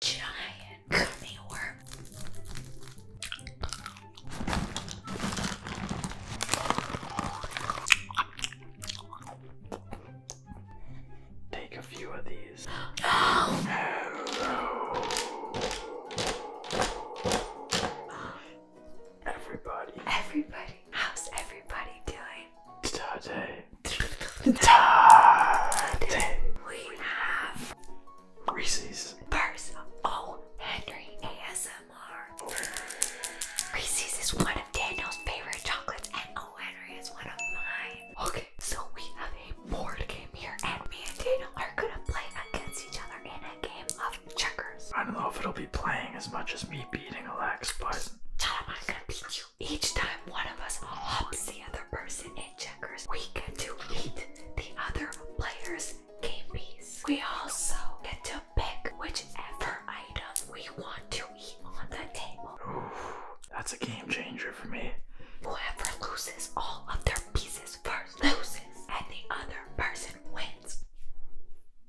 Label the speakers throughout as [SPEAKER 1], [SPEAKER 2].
[SPEAKER 1] giant Take a few of these. No. Everybody. Everybody. How's everybody doing? Today. We have Reese's. Bars O. Henry ASMR. Reese's is one of Daniel's favorite chocolates, and O. Oh, Henry is one of mine. Okay, so we have a board game here, and me and Daniel are gonna play against each other in a game of checkers.
[SPEAKER 2] I don't know if it'll be playing as much as me beating Alex, but. I'm gonna beat you. Each time one of us hops the other person in checkers, we get to eat the
[SPEAKER 1] other player's game piece. We also get to pick whichever item we want to eat on the table. that's a game changer for me. Whoever loses all of their pieces first loses, and the other person wins.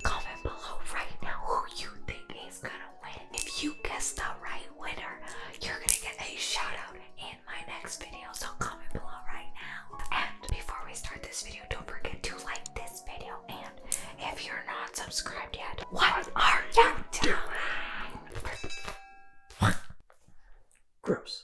[SPEAKER 1] Comment below right now who you think is gonna win. If you guess the right winner, you're gonna get a shout out in my next video. So comment below right now. And before we start this video, don't forget to like this video. And if you're not subscribed yet, what are you doing? Gross.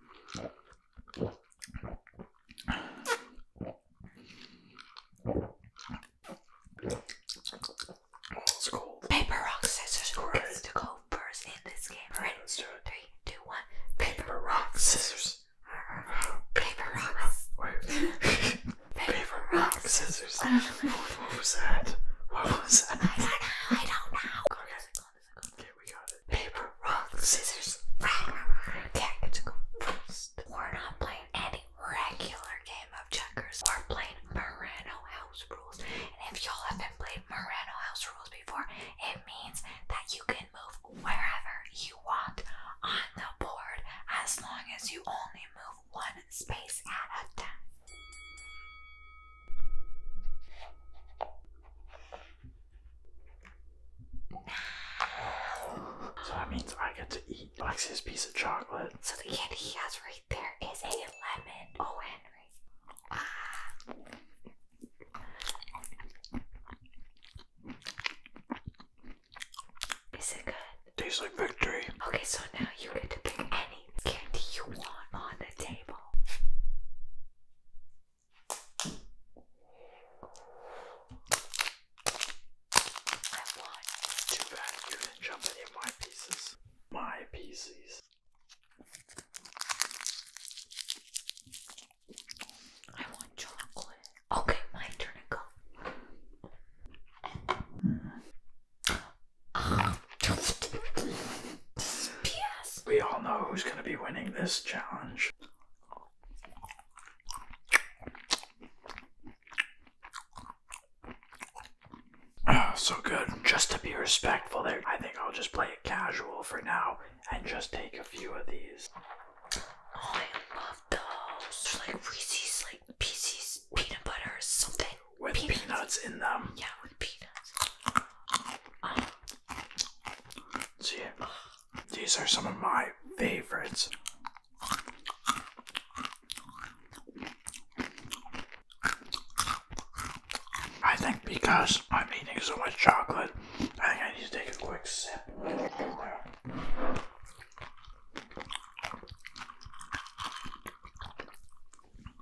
[SPEAKER 2] It's cold. Paper, rock,
[SPEAKER 1] scissors, who gets to go first in this game? Ready? Let's do it. Three, two, one. Paper, rock,
[SPEAKER 2] scissors. Paper, rock. Paper, rock, scissors. What was that? What was that? I don't know. I don't
[SPEAKER 1] know. Paper, rock, scissors, cat gets to first. We're not playing any regular game of checkers. We're playing Moreno House Rules. And if y'all haven't played Moreno House Rules before, it means that you can move wherever you want on the board as long as you only move one space at a time.
[SPEAKER 2] So that means I get to eat Lexi's piece of chocolate. So the candy he has right there is a lemon. Oh, Henry. Ah.
[SPEAKER 1] Is it good? Tastes like victory. Okay, so now you get to pick any candy you want on the table. I lied. too bad you didn't jump any of my pieces. My pieces.
[SPEAKER 2] I want chocolate. Okay, my turn to go. We all know who's going to be winning this challenge. Oh, so good. Just to be respectful there, I think I'll just play it casual for now and just take a few of these. Oh, I love those. They're like Reese's, like pieces, peanut butter, something with peanuts, in them. Yeah, with peanuts. See, these are some of my favorites. I think because I'm eating so much chocolate, I think I need to take a quick sip.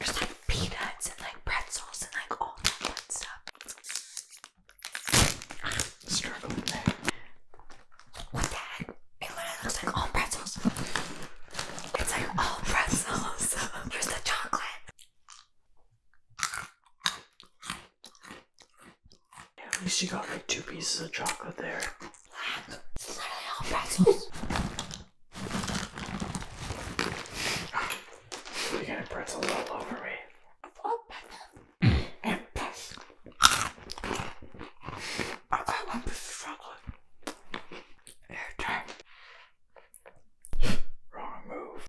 [SPEAKER 2] There's like peanuts
[SPEAKER 1] and like pretzels and like all that fun stuff. I'm struggling there. What the heck? It literally looks like all pretzels.
[SPEAKER 2] It's like all pretzels. Here's the chocolate. Yeah, at least you got like two pieces of chocolate there. It's literally all pretzels. You're pretzels all over me. Oh, I got one piece of chocolate. Wrong move.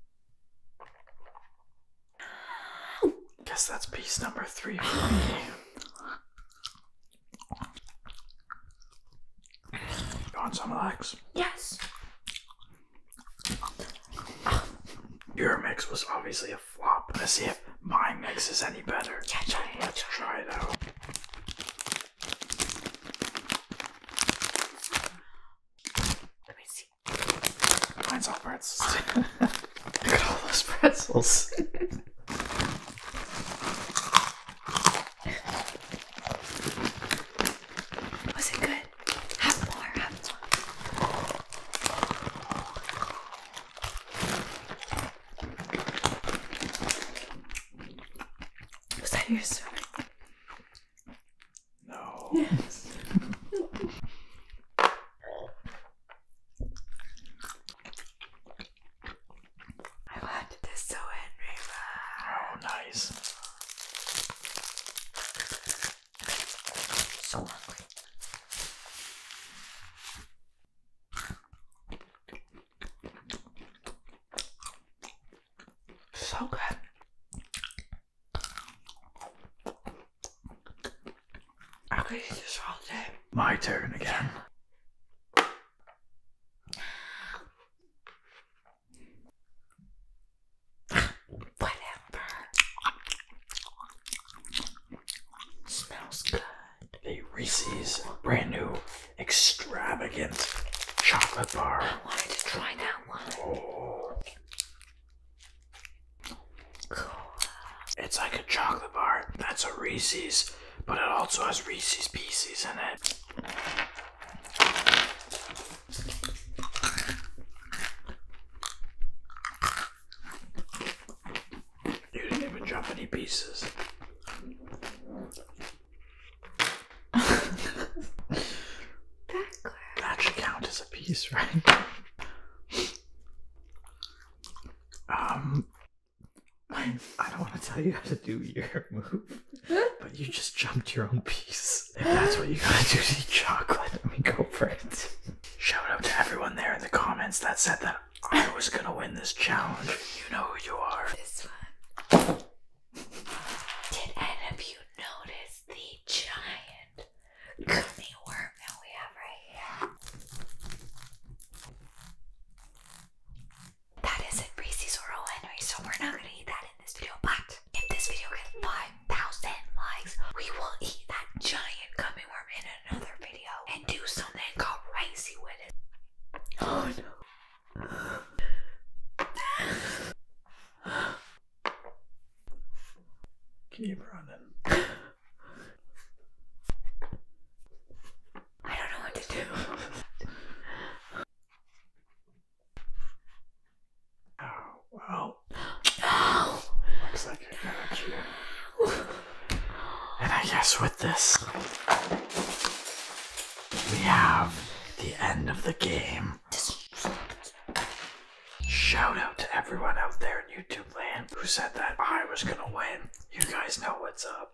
[SPEAKER 2] Guess that's piece number three for me. You want some of Yes. Your mix was obviously a flop. Let's see if my mix is any better. Let's try it out. Let me see. Mine's all pretzels. Look at all those pretzels. Was it good? Have more, have
[SPEAKER 1] more. Was that your story? No. Yes. I want the so Henry Oh, nice.
[SPEAKER 2] So hungry. So good. I could eat this all day. My turn again. Whatever. Smells good. A Reese's brand new extravagant chocolate bar. I wanted to try that one. Cool. Oh. It's like a chocolate bar. That's a Reese's but it also has Reese's Pieces in it. You didn't even drop any pieces. that should count as a piece, right? Um, I don't want to tell you how to do your move, but you just jumped your own piece. If that's what you gotta do to eat chocolate, I mean, go for it. Shout out to everyone there in the comments that said that I was gonna win this challenge. You know who you are. Did any of you notice the giant
[SPEAKER 1] gummy worm that we have right here? that isn't Reese's or O. Henry, so we're not gonna eat that in this video. But if this video gets 5,000 likes, we will eat that giant gummy worm in another video and do something called Racy with it. Oh no.
[SPEAKER 2] Keep running. I don't know what to do. oh, Looks like you're going And I guess with this, we have the end of the game. Shout out to everyone out there in YouTube land who said that I was gonna win. You guys know what's up.